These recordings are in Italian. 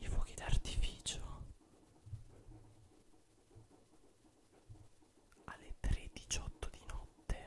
i fuochi d'artificio alle 3.18 di notte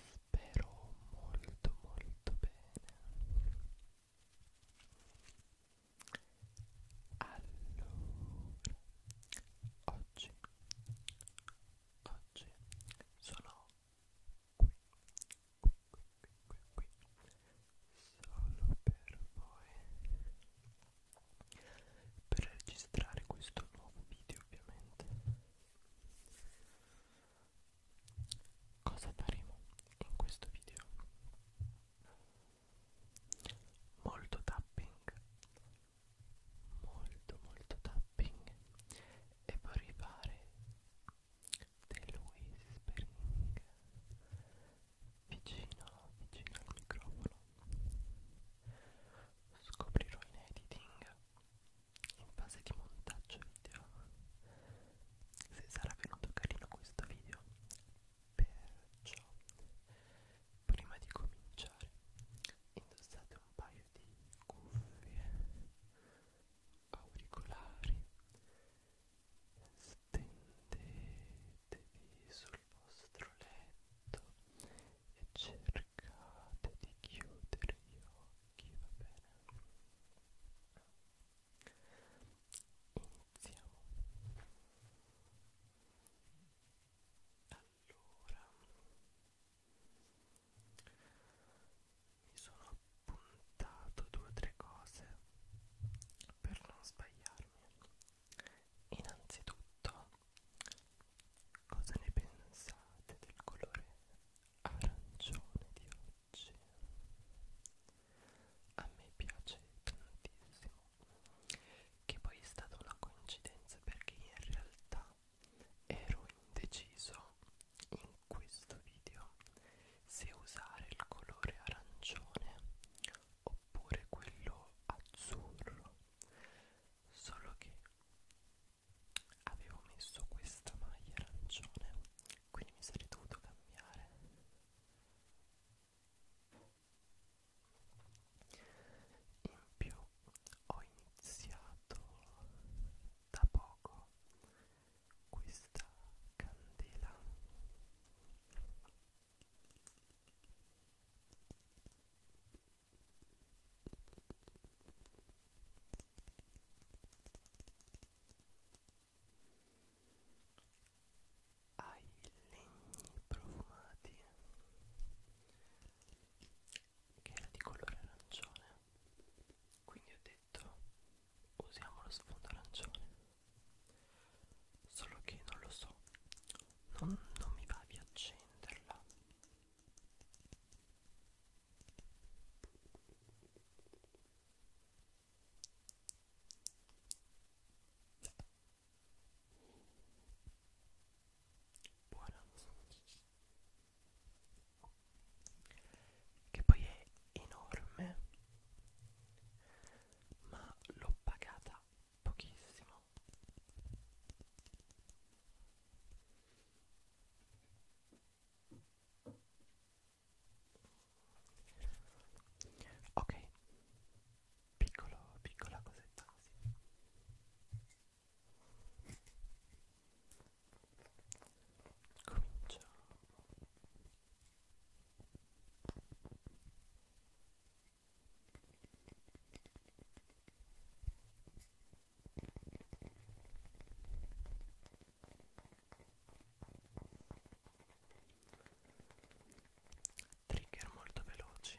Spero molto molto bene. Allora, oggi, oggi sono qui, qui, qui, qui, qui, solo per voi per registrare questo nuovo video ovviamente cosa faremo in questo video molto tapping molto molto tapping e vorrei fare del whispering vicino vicino al microfono scoprirò in editing in fase di montaggio video se sarà venuto carino questo video perciò prima di cominciare indossate un paio di cuffie auricolari stendetevi sul vostro letto e cercate cercate di chiudere gli occhi, va bene? Iniziamo. Allora, mi sono appuntato due o tre cose per non sbagliarmi. Innanzitutto Cosa ne pensate del colore arancione di oggi? A me piace tantissimo. Che poi è stata una coincidenza perché in realtà ero indeciso in questo video se usare il colore arancione oppure quello azzurro solo che avevo messo questa maglia arancione quindi mi sarei dovuto cambiare in più ho iniziato da poco questa candela ai legni profumati che era di colore arancione quindi ho detto usiamo lo sfondo arancione solo che non lo so non, non mi va di accenderla buona che poi è enorme ma l'ho pagata pochissimo ok piccolo piccola cosetta così cominciamo Trigger molto veloci.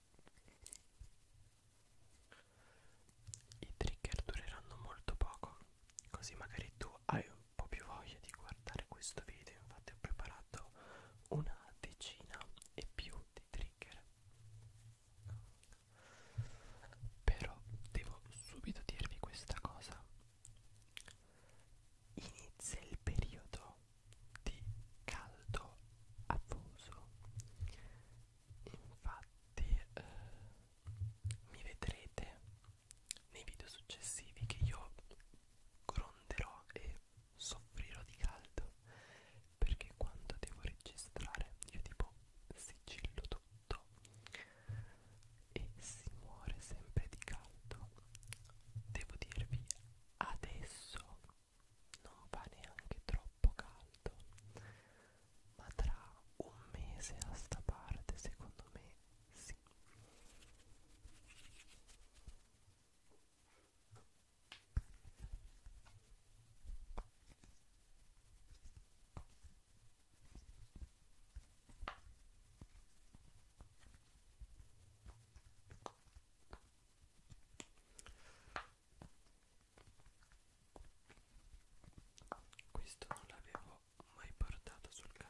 I trigger dureranno molto poco, così magari tu hai un po' più voglia di guardare questo video, infatti ho preparato una decina e più di trigger. Però devo subito dirvi questa cosa. Inizia il periodo di caldo afoso infatti eh, mi vedrete nei video successivi che io gronderò e soffrirò di caldo perché quando devo registrare io tipo sigillo tutto e si muore sempre di caldo devo dirvi adesso non va neanche troppo caldo ma tra un mese a sta parte secondo me sì questo non l'avevo mai portato sul canale.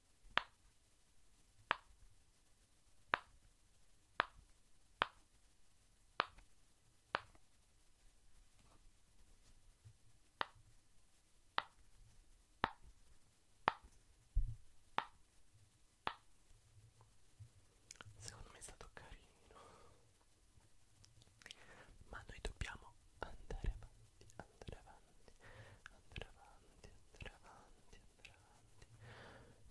Secondo me è stato carino, ma noi dobbiamo andare avanti, andare avanti avanti, andare avanti, andare avanti, andare avanti.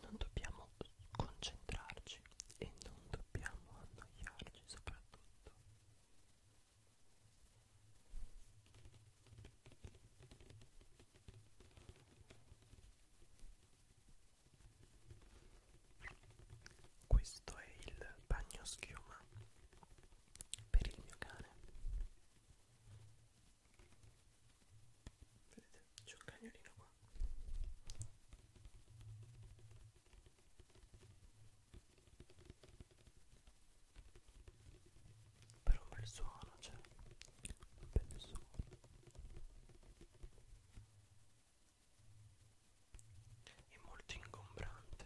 Non dobbiamo concentrarci e non dobbiamo annoiarci soprattutto. Questo è il bagno schiuma per il mio cane. Vedete, c'è un cagnolino qua. Però un bel suono, c'è cioè. un bel suono. È molto ingombrante.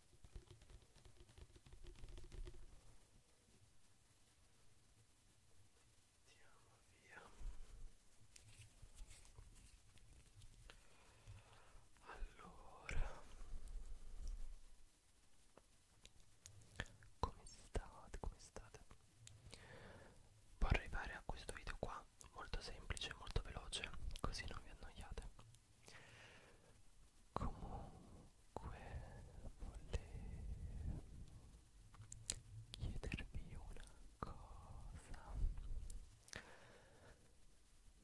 Andiamo via. Allora, come state? Come state? Può arrivare a questo video qua molto semplice, molto veloce, così non vi annoiate. Comunque volevo chiedervi una cosa.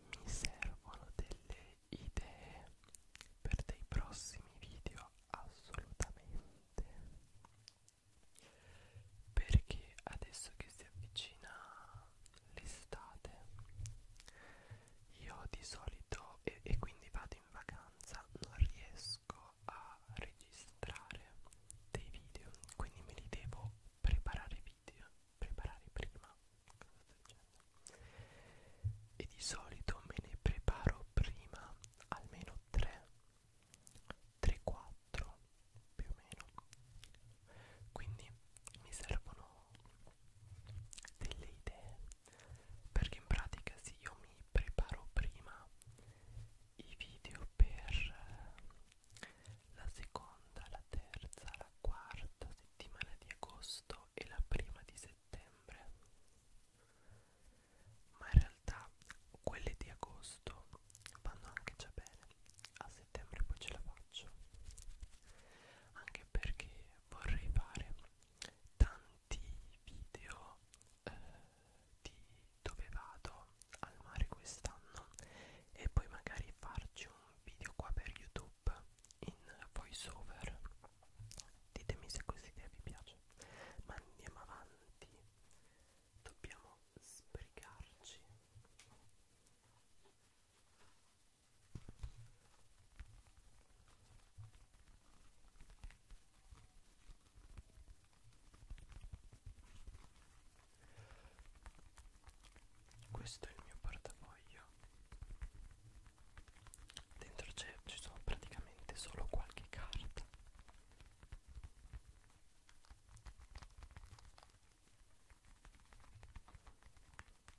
Mi servono delle idee per dei prossimi video assolutamente. Perché adesso che si avvicina l'estate io di solito e, e quindi vado in vacanza non riesco a registrare dei video quindi me li devo preparare video preparare prima e di solito me ne preparo prima almeno 3 3 4 più o meno quindi mi servono delle idee perché in pratica sì io mi preparo prima i video per la seconda, la terza, la quarta settimana di agosto e la prima di settembre ma in realtà quelle di agosto vanno anche già bene a settembre poi ce la faccio anche anche perché vorrei fare tanti video eh, di dove vado al mare quest'anno e poi magari farci un video qua per YouTube in voice over. Ditemi se questa idea vi piace. Ma andiamo avanti. Dobbiamo sbrigarci. Questo è il mio portafoglio. Dentro ci sono praticamente solo qualche carta.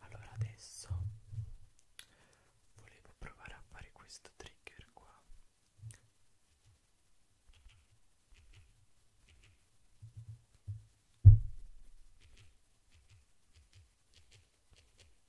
allora adesso volevo provare a fare questo trigger qua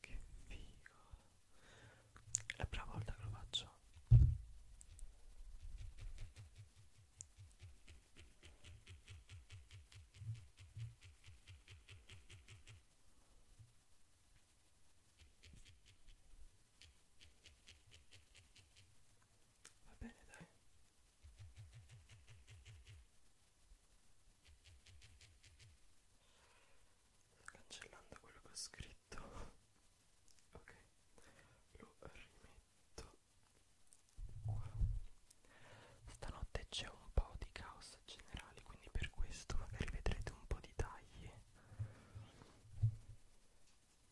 Che figo È la prima volta che lo faccio va bene dai sto cancellando quello che ho scritto ok lo rimetto qua stanotte c'è un po' di caos generale quindi per questo magari vedrete un po' di tagli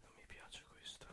Non mi piace questo.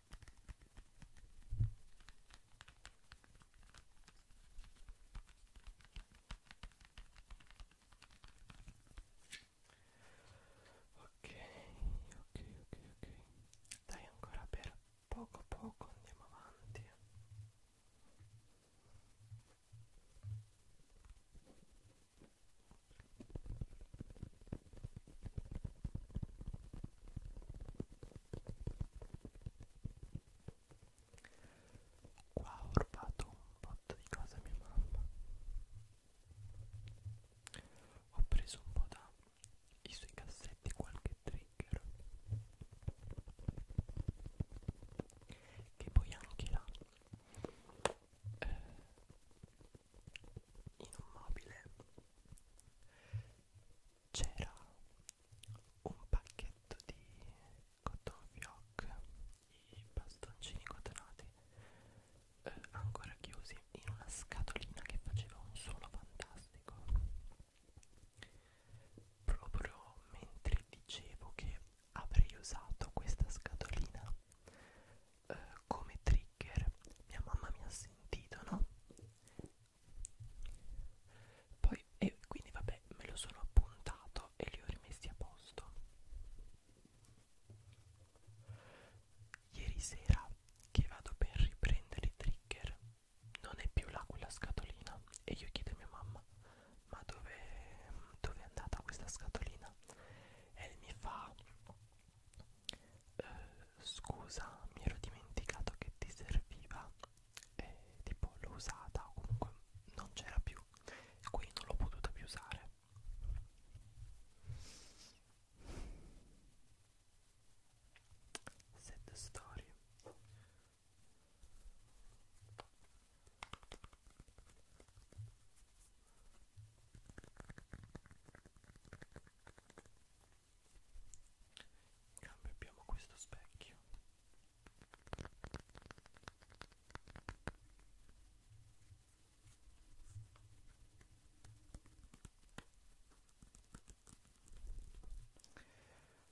ok ok ok ok dai ancora per poco poco andiamo avanti Qua ho rubato un botto di cose a mia mamma. Ho preso un po' dai suoi cassetti qualche trigger. Che poi anche là eh, in un mobile c'era un pacchetto di cotton fioc i bastoncini cotonati eh, ancora chiusi in una scatolina che faceva un suono fantastico proprio mentre dicevo che avrei usato questa scatolina eh, come trigger mia mamma mi ha sentito no poi e quindi vabbè me lo sono appuntato e li ho rimessi a posto ieri sera che vado per riprendere i trigger non è più là quella scatolina e io chiedo a mia mamma ma dove dov è andata questa scatolina e mi fa eh, scusa mi ero dimenticato che ti serviva e tipo l'ho usata o comunque non c'era più e quindi non l'ho potuta più usare Set story in cambio abbiamo questo specchio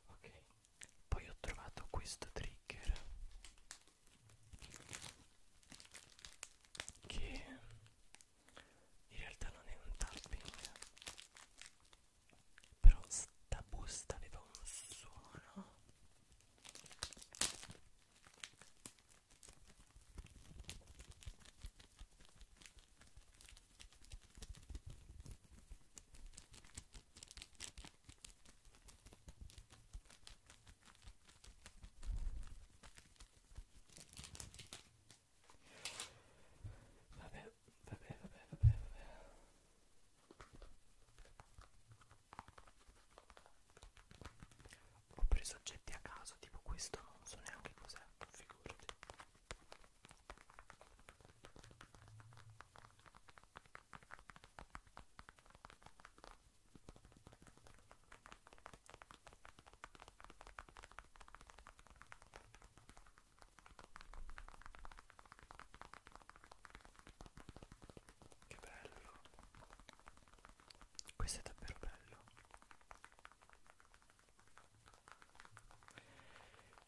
ok poi ho trovato questo trigger che in realtà non è un tapping però sta busta aveva un suono Vabbè, vabbè, vabbè, vabbè, vabbè. Ho preso oggetti a caso, tipo questo non so neanche cos'è, figurati. Che bello. Questo è davvero bello.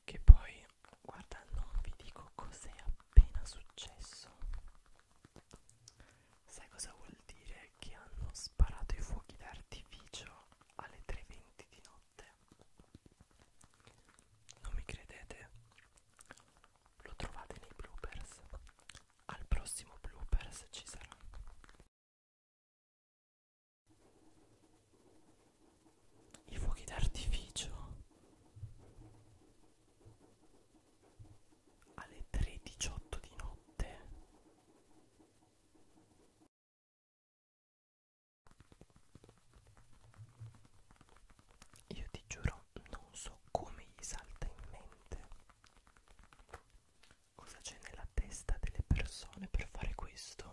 Che poi, guarda, non vi dico cos'è appena successo. Sai cosa vuol dire? Che hanno sparato i fuochi d'artificio alle 3.20 di notte. Non mi credete? Lo trovate nei bloopers. Al prossimo bloopers ci sarà. I fuochi d'artificio alle 3.18 di notte io ti giuro, non so come gli salta in mente cosa c'è nella testa delle persone per fare questo.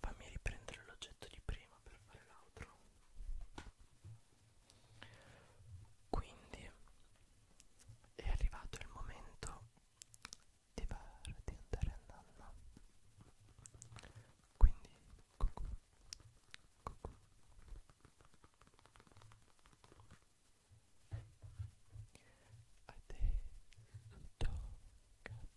Fammi riprendere l'oggetto di prima per fare l'altro. Quindi è arrivato il momento di, far, di andare a nanna. Quindi cucù, cucù. Adesso tocca a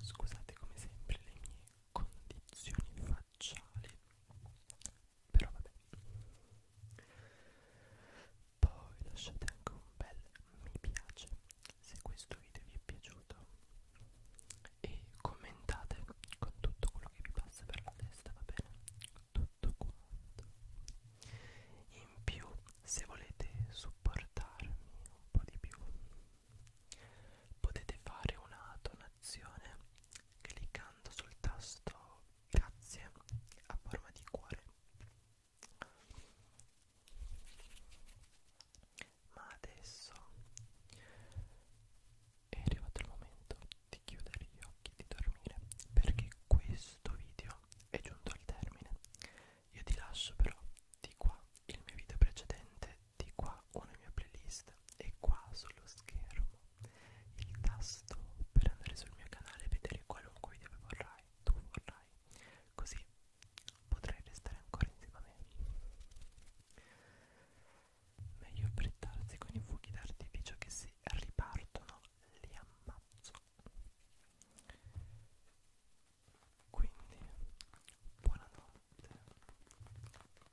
Scusate come sempre le mie condizioni facciali, però vabbè. Poi lasciate anche un bel mi piace se questo video vi è piaciuto e commentate con tutto quello che vi passa per la testa, va bene? Tutto quanto. In più, se volete supportarmi un po' di più Potete fare una donazione cliccando sul tasto grazie a forma di cuore. Ma adesso è arrivato il momento di chiudere gli occhi e di dormire perché questo video è giunto al termine. Io ti lascio però di qua il mio video precedente di qua una mia playlist e qua sullo schermo il tasto per andare sul mio canale e vedere qualunque video vorrai, tu vorrai, così potrai restare ancora insieme a me. Meglio brittarsi con i fuochi d'artificio che si ripartono, li ammazzo. Quindi, buonanotte,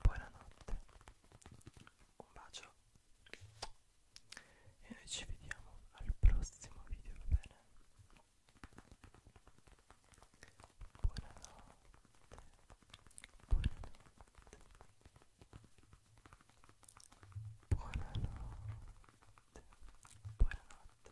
buonanotte, un bacio e noi ci vediamo al prossimo video, va bene? Buonanotte, buonanotte, buonanotte, buonanotte.